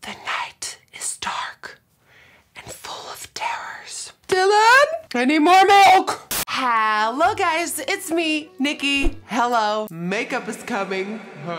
The night is dark and full of terrors. Dylan, I need more milk. Hello guys, it's me, Nikki. Hello, makeup is coming.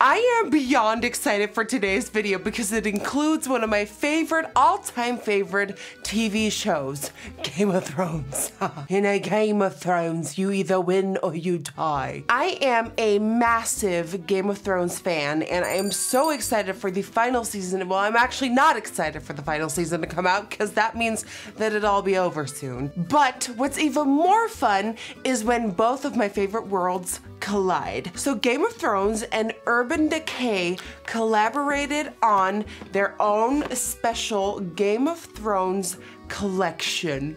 I am beyond excited for today's video because it includes one of my favorite, all-time favorite TV shows, Game of Thrones. In a Game of Thrones, you either win or you tie. I am a massive Game of Thrones fan, and I am so excited for the final season. Well, I'm actually not excited for the final season to come out because that means that it'll all be over soon. But what's even more fun is when both of my favorite worlds collide. So Game of Thrones and Urban Decay collaborated on their own special Game of Thrones collection.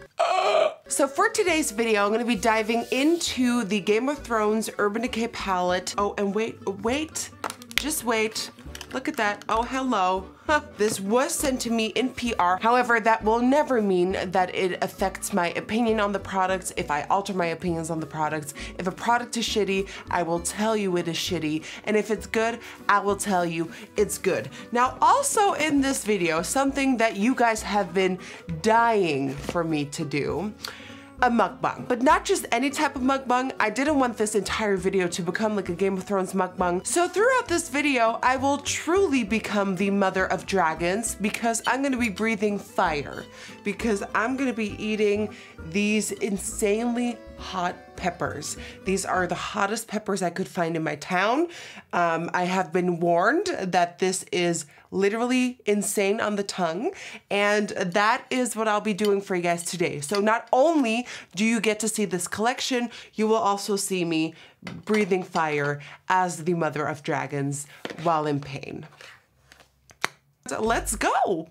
So for today's video, I'm gonna be diving into the Game of Thrones Urban Decay palette. Oh, and wait, wait, just wait. Look at that. Oh, hello. This was sent to me in PR. However, that will never mean that it affects my opinion on the products. If I alter my opinions on the products, if a product is shitty, I will tell you it is shitty. And if it's good, I will tell you it's good. Now, also in this video, something that you guys have been dying for me to do a mukbang, but not just any type of mukbang. I didn't want this entire video to become like a Game of Thrones mukbang. So throughout this video, I will truly become the mother of dragons because I'm gonna be breathing fire because I'm gonna be eating these insanely hot peppers. These are the hottest peppers I could find in my town. Um, I have been warned that this is literally insane on the tongue. And that is what I'll be doing for you guys today. So not only do you get to see this collection, you will also see me breathing fire as the mother of dragons while in pain. let's go.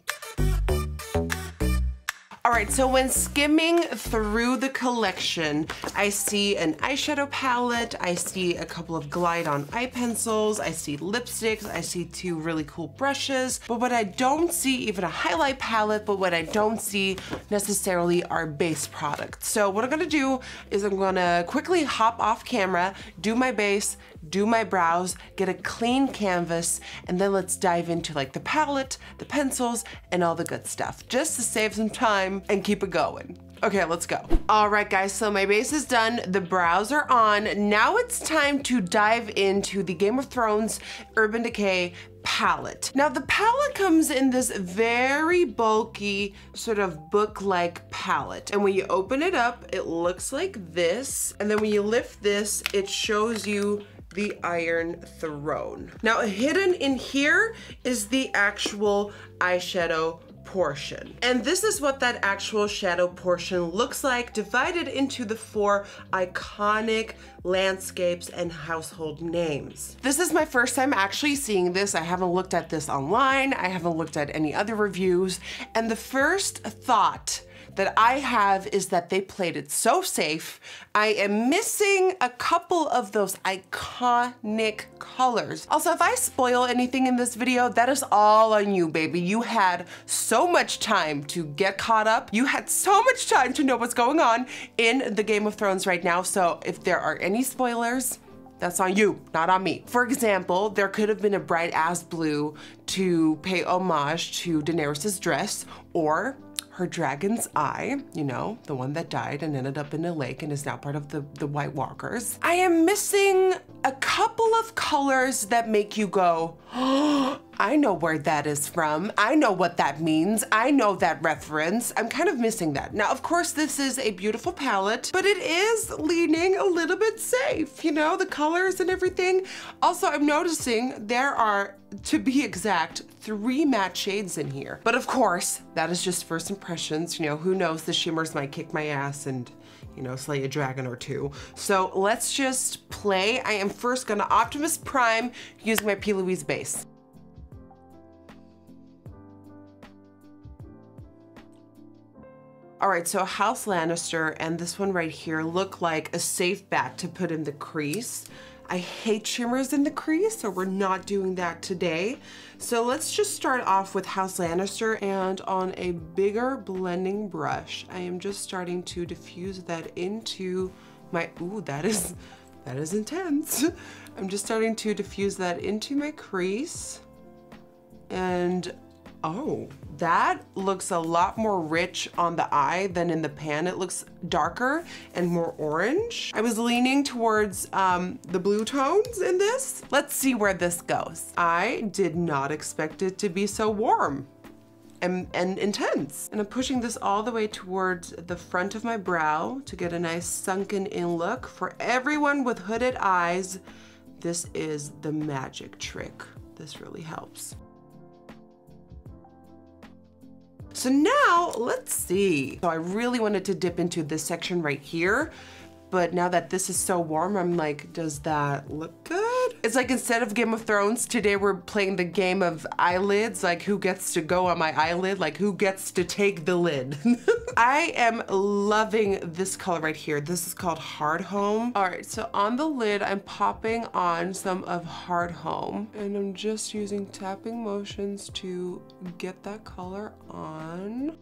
All right, so when skimming through the collection, I see an eyeshadow palette, I see a couple of. Glide on eye pencils, I see lipsticks, I see two really cool brushes, but what I don't see even a highlight palette, but what I don't see necessarily are base products. So what I'm gonna do is I'm gonna quickly hop off camera, do my base, do my brows, get a clean canvas, and then let's dive into like the palette, the pencils, and all the good stuff, just to save some time and keep it going. Okay, let's go. All right, guys, so my base is done. The brows are on. Now it's time to dive into the Game of Thrones Urban Decay palette. Now the palette comes in this very bulky sort of book-like palette. And when you open it up, it looks like this. And then when you lift this, it shows you the Iron Throne. Now hidden in here is the actual eyeshadow portion. And this is what that actual shadow portion looks like divided into the four iconic landscapes and household names. This is my first time actually seeing this. I haven't looked at this online. I haven't looked at any other reviews. And the first thought that I have is that they played it so safe. I am missing a couple of those iconic Nick colors. Also, if I spoil anything in this video, that is all on you, baby. You had so much time to get caught up. You had so much time to know what's going on in the Game of Thrones right now. So if there are any spoilers, that's on you, not on me. For example, there could have been a bright ass blue to pay homage to Daenerys' dress or her dragon's eye, you know, the one that died and ended up in a lake and is now part of the, the White Walkers. I am missing a couple of colors that make you go, I know where that is from. I know what that means. I know that reference. I'm kind of missing that. Now, of course, this is a beautiful palette, but it is leaning a little bit safe, you know, the colors and everything. Also, I'm noticing there are, to be exact, three matte shades in here. But of course, that is just first impressions. You know, who knows, the shimmers might kick my ass and you know, slay a dragon or two. So let's just play. I am first gonna Optimus Prime using my P. Louise base. All right, so House Lannister and this one right here look like a safe bet to put in the crease. I hate shimmers in the crease, so we're not doing that today. So let's just start off with House Lannister and on a bigger blending brush, I am just starting to diffuse that into my, ooh, that is, that is intense. I'm just starting to diffuse that into my crease and oh, that looks a lot more rich on the eye than in the pan. It looks darker and more orange. I was leaning towards um, the blue tones in this. Let's see where this goes. I did not expect it to be so warm and, and intense. And I'm pushing this all the way towards the front of my brow to get a nice sunken in look. For everyone with hooded eyes, this is the magic trick. This really helps. So now let's see. So I really wanted to dip into this section right here but now that this is so warm, I'm like, does that look good? It's like instead of Game of Thrones, today we're playing the game of eyelids, like who gets to go on my eyelid, like who gets to take the lid. I am loving this color right here. This is called Hard Home. All right, so on the lid, I'm popping on some of Hard Home and I'm just using tapping motions to get that color on.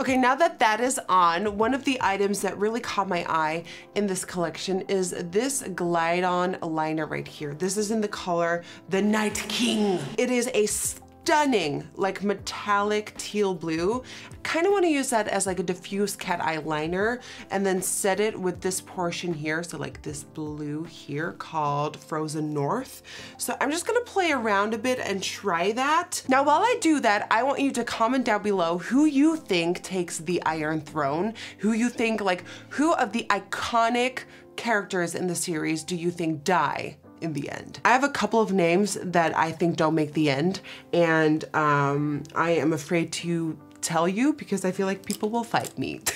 Okay, now that that is on, one of the items that really caught my eye in this collection is this Glide On liner right here. This is in the color The Night King. It is a stunning, like metallic teal blue. kind of want to use that as like a diffuse cat eye liner and then set it with this portion here. So like this blue here called Frozen North. So I'm just gonna play around a bit and try that. Now while I do that, I want you to comment down below who you think takes the Iron Throne, who you think like, who of the iconic characters in the series do you think die? in the end. I have a couple of names that I think don't make the end and um, I am afraid to tell you because I feel like people will fight me.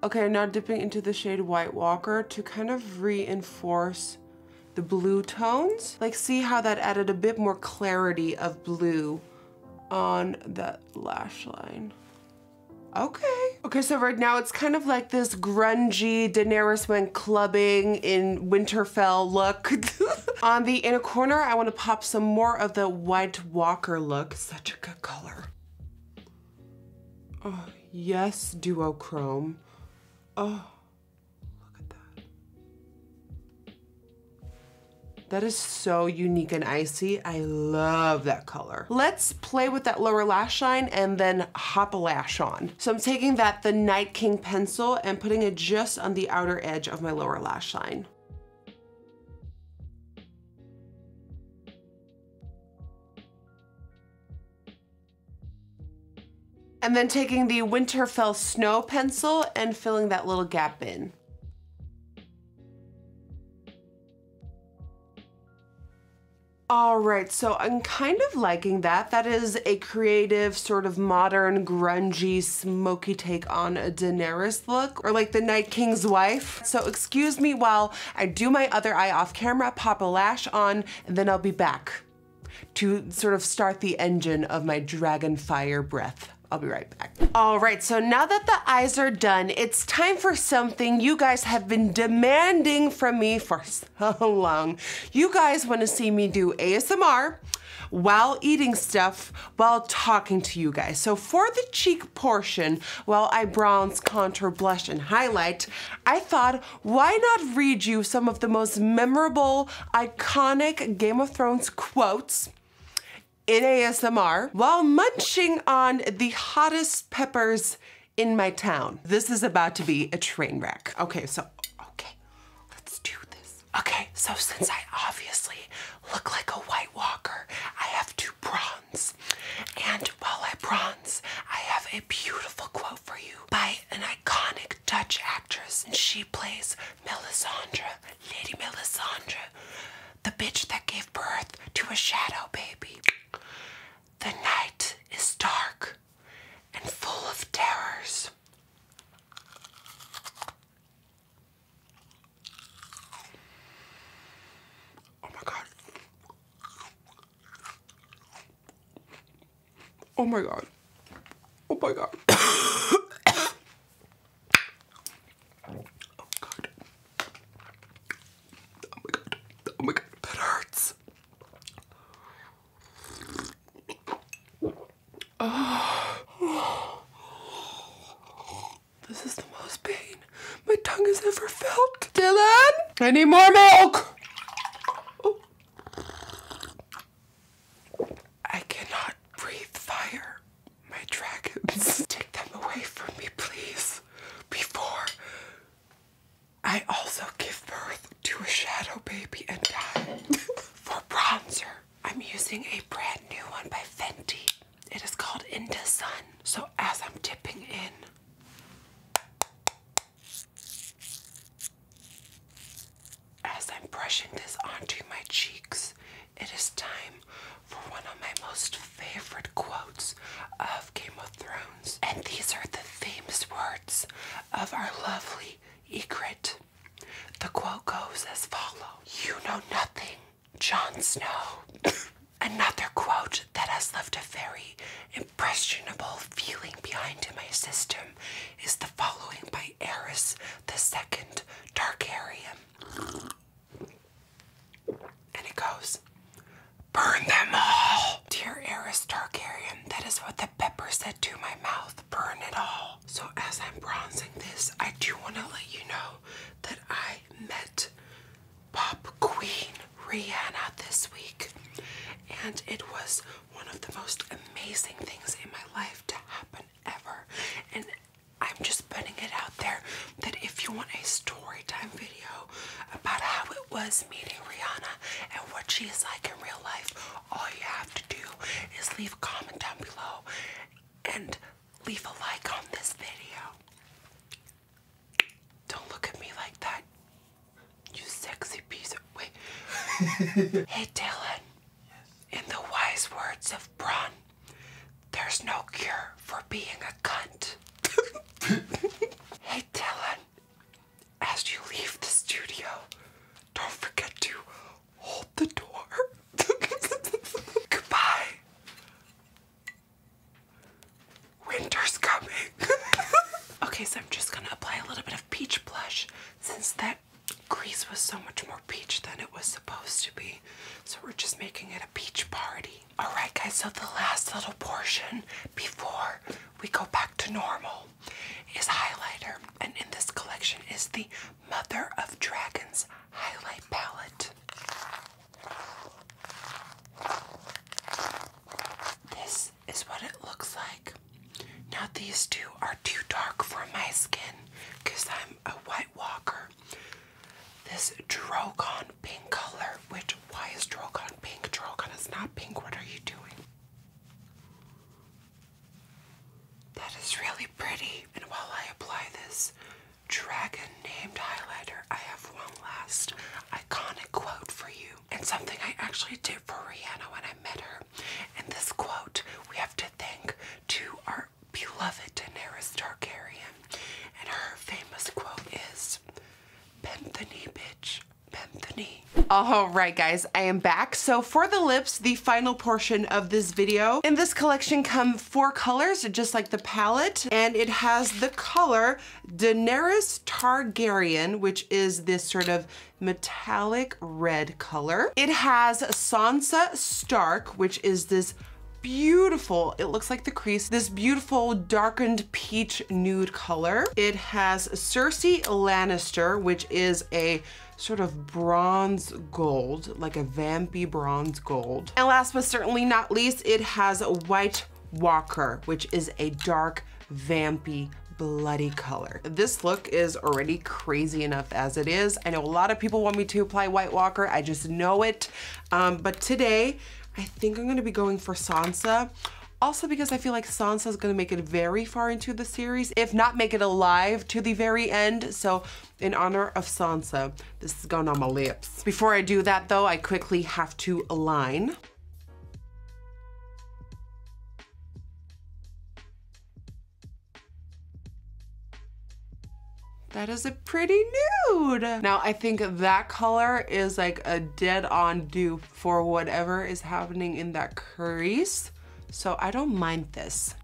Okay, now dipping into the shade White Walker to kind of reinforce the blue tones. Like see how that added a bit more clarity of blue on that lash line. Okay. Okay, so right now it's kind of like this grungy Daenerys went clubbing in Winterfell look. On the inner corner, I wanna pop some more of the White Walker look. Such a good color. Oh, yes, duochrome. Oh, look at that. That is so unique and icy. I love that color. Let's play with that lower lash line, and then hop a lash on. So I'm taking that the Night King pencil and putting it just on the outer edge of my lower lash line. And then taking the Winterfell Snow pencil and filling that little gap in. All right, so I'm kind of liking that. That is a creative, sort of modern, grungy, smoky take on a Daenerys look, or like the Night King's wife. So excuse me while I do my other eye off camera, pop a lash on, and then I'll be back to sort of start the engine of my dragon fire breath. I'll be right back. All right, so now that the eyes are done, it's time for something you guys have been demanding from me for along. You guys wanna see me do ASMR while eating stuff, while talking to you guys. So for the cheek portion, while I bronze, contour, blush, and highlight, I thought, why not read you some of the most memorable, iconic Game of Thrones quotes in ASMR while munching on the hottest peppers in my town. This is about to be a train wreck. Okay, so, okay, let's do this. Okay, so since I obviously look like a White Walker, I have to bronze. And while I bronze, I have a beautiful quote for you by an iconic Dutch actress. And she plays Melisandre, Lady Melisandre, the bitch that gave birth to a shadow baby. The night is dark and full of terrors. Oh my god. Oh my god. Oh my god. oh god. Oh my god. Oh my god. That hurts. Oh. This is the most pain my tongue has ever felt. Dylan, I need more milk. Oh. I cannot breathe fire. My dragons, take them away from me, please, before I also give birth to a shadow baby and die. For bronzer, I'm using a brand new one by Fenty. It is called Into Sun. So as I'm dipping in, as I'm brushing this onto my cheeks, it is time for one of my most favorite quotes of Game of Thrones. And these are the famous words of our lovely Egret. The quote goes as follows You know nothing, Jon Snow. Another quote that has left a very impressionable feeling behind in my system is the following by Eris II Targaryen. And it goes, Burn them all! Dear Eris Targaryen. That is what the pepper said to my mouth. Burn it all. So as I'm bronzing this, I do want to let you know that I met Pop Queen Rihanna this week. And it was one of the most amazing things in my life to happen ever. And I'm just putting it out there that if you want a story time video about how it was meeting Rihanna and what she is like in real life, all you have to do is leave a comment down below and leave a like on this video. Don't look at me like that, you sexy piece Wait. hey, Dylan. Yes. In the wise words of Braun, there's no cure for being a cunt. hey, Dylan as you leave the studio, don't forget to hold the door. Goodbye. Winter's coming. okay, so I'm just gonna apply a little bit of peach blush since that grease was so much more peach than it was supposed to be. So we're just making it a peach party. Alright, guys, so the last little portion before we go back to normal is highlighter and in this collection is the Mother of Dragons highlight palette. This is what it looks like. Now these two are too dark for my skin because I'm a white walker. This Drogon pink color, which why is Drogon pink? Drogon is not pink. What are you doing? That is really pretty. And while I apply this dragon named highlighter, I have one last iconic quote for you. And something I actually did for Rihanna when I met her. And this quote we have to thank to our beloved Daenerys Targaryen. And her famous quote is Bend the knee, bitch. Bethany. All right, guys, I am back. So for the lips, the final portion of this video. In this collection come four colors, just like the palette, and it has the color Daenerys Targaryen, which is this sort of metallic red color. It has Sansa Stark, which is this beautiful, it looks like the crease, this beautiful darkened peach nude color. It has Cersei Lannister, which is a sort of bronze gold, like a vampy bronze gold. And last but certainly not least, it has White Walker, which is a dark vampy bloody color. This look is already crazy enough as it is. I know a lot of people want me to apply White Walker, I just know it. Um, but today, I think I'm gonna be going for Sansa also because I feel like Sansa is gonna make it very far into the series, if not make it alive to the very end. So in honor of Sansa, this is going on my lips. Before I do that though, I quickly have to align. That is a pretty nude. Now I think that color is like a dead on dupe for whatever is happening in that crease. So I don't mind this.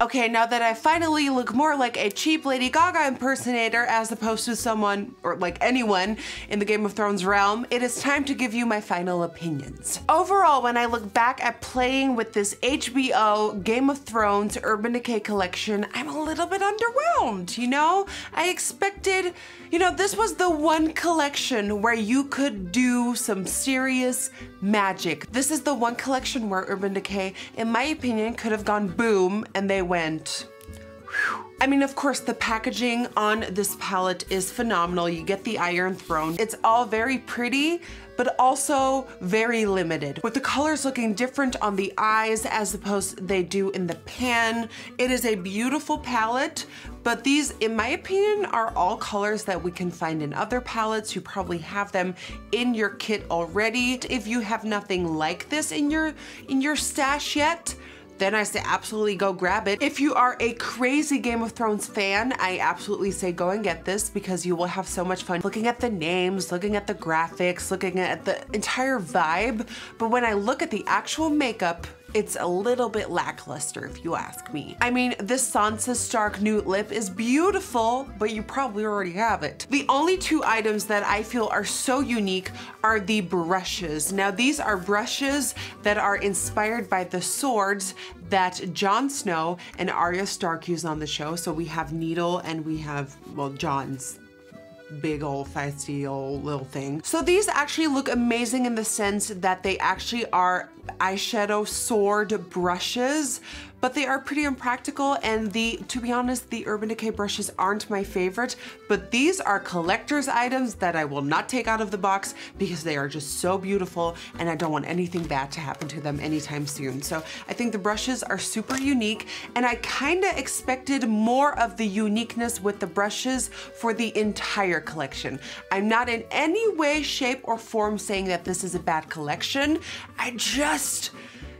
Okay, now that I finally look more like a cheap Lady Gaga impersonator as opposed to someone, or like anyone, in the Game of Thrones realm, it is time to give you my final opinions. Overall, when I look back at playing with this HBO Game of Thrones Urban Decay collection, I'm a little bit underwhelmed, you know? I expected expected. You know, this was the one collection where you could do some serious magic. This is the one collection where Urban Decay, in my opinion, could have gone boom and they went, I mean, of course, the packaging on this palette is phenomenal. You get the Iron Throne. It's all very pretty, but also very limited, with the colors looking different on the eyes as opposed they do in the pan, it is a beautiful palette, but these, in my opinion, are all colors that we can find in other palettes. You probably have them in your kit already. If you have nothing like this in your, in your stash yet, then I say absolutely go grab it. If you are a crazy Game of Thrones fan, I absolutely say go and get this because you will have so much fun looking at the names, looking at the graphics, looking at the entire vibe. But when I look at the actual makeup it's a little bit lackluster if you ask me. I mean, this Sansa Stark Nude Lip is beautiful, but you probably already have it. The only two items that I feel are so unique are the brushes. Now these are brushes that are inspired by the swords that Jon Snow and Arya Stark use on the show. So we have Needle and we have, well, Jon's big old feisty old little so these actually look amazing in the sense that they actually are eyeshadow sword brushes but they are pretty impractical and the to be honest the Urban Decay brushes aren't my favorite but these are collector's items that I will not take out of the box because they are just so beautiful and I don't want anything bad to happen to them anytime soon so I think the brushes are super unique and I kind of expected more of the uniqueness with the brushes for the entire collection. I'm not in any way, shape, or form saying that this is a bad collection. I just,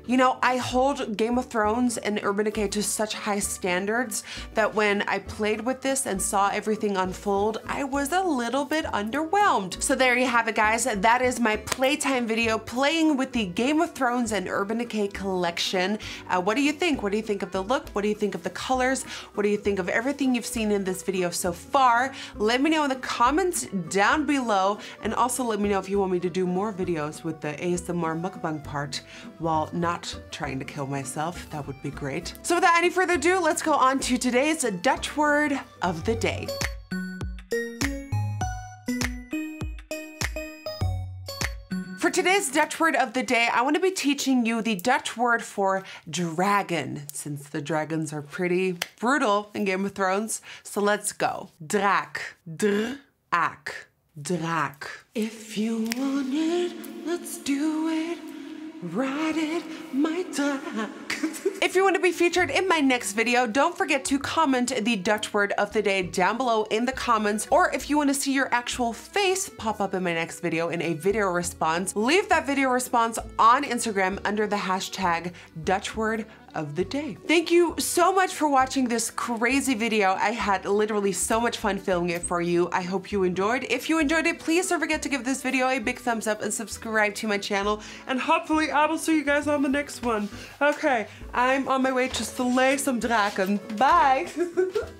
you know, I hold Game of Thrones and Urban Decay to such high standards that when I played with this and saw everything unfold, I was a little bit underwhelmed. So there you have it guys, that is my playtime video playing with the Game of Thrones and Urban Decay collection. Uh, what do you think? What do you think of the look? What do you think of the colors? What do you think of everything you've seen in this video so far? Let me know in the comments down below and also let me know if you want me to do more videos with the ASMR mukbang part while not trying to kill myself. That would be great. So without any further ado, let's go on to today's Dutch word of the day. For today's Dutch word of the day, I want to be teaching you the Dutch word for dragon, since the dragons are pretty brutal in Game of Thrones. So let's go. Draak. D-r-a-k. Draak. If you want it, let's do it. Ride it, my draak. if you want to be featured in my next video, don't forget to comment the Dutch word of the day down below in the comments, or if you want to see your actual face pop up in my next video in a video response, leave that video response on Instagram under the hashtag Dutch word of the day. Thank you so much for watching this crazy video. I had literally so much fun filming it for you. I hope you enjoyed. If you enjoyed it, please don't forget to give this video a big thumbs up and subscribe to my channel. And hopefully I will see you guys on the next one. Okay, I'm on my way to slay some draken. Bye.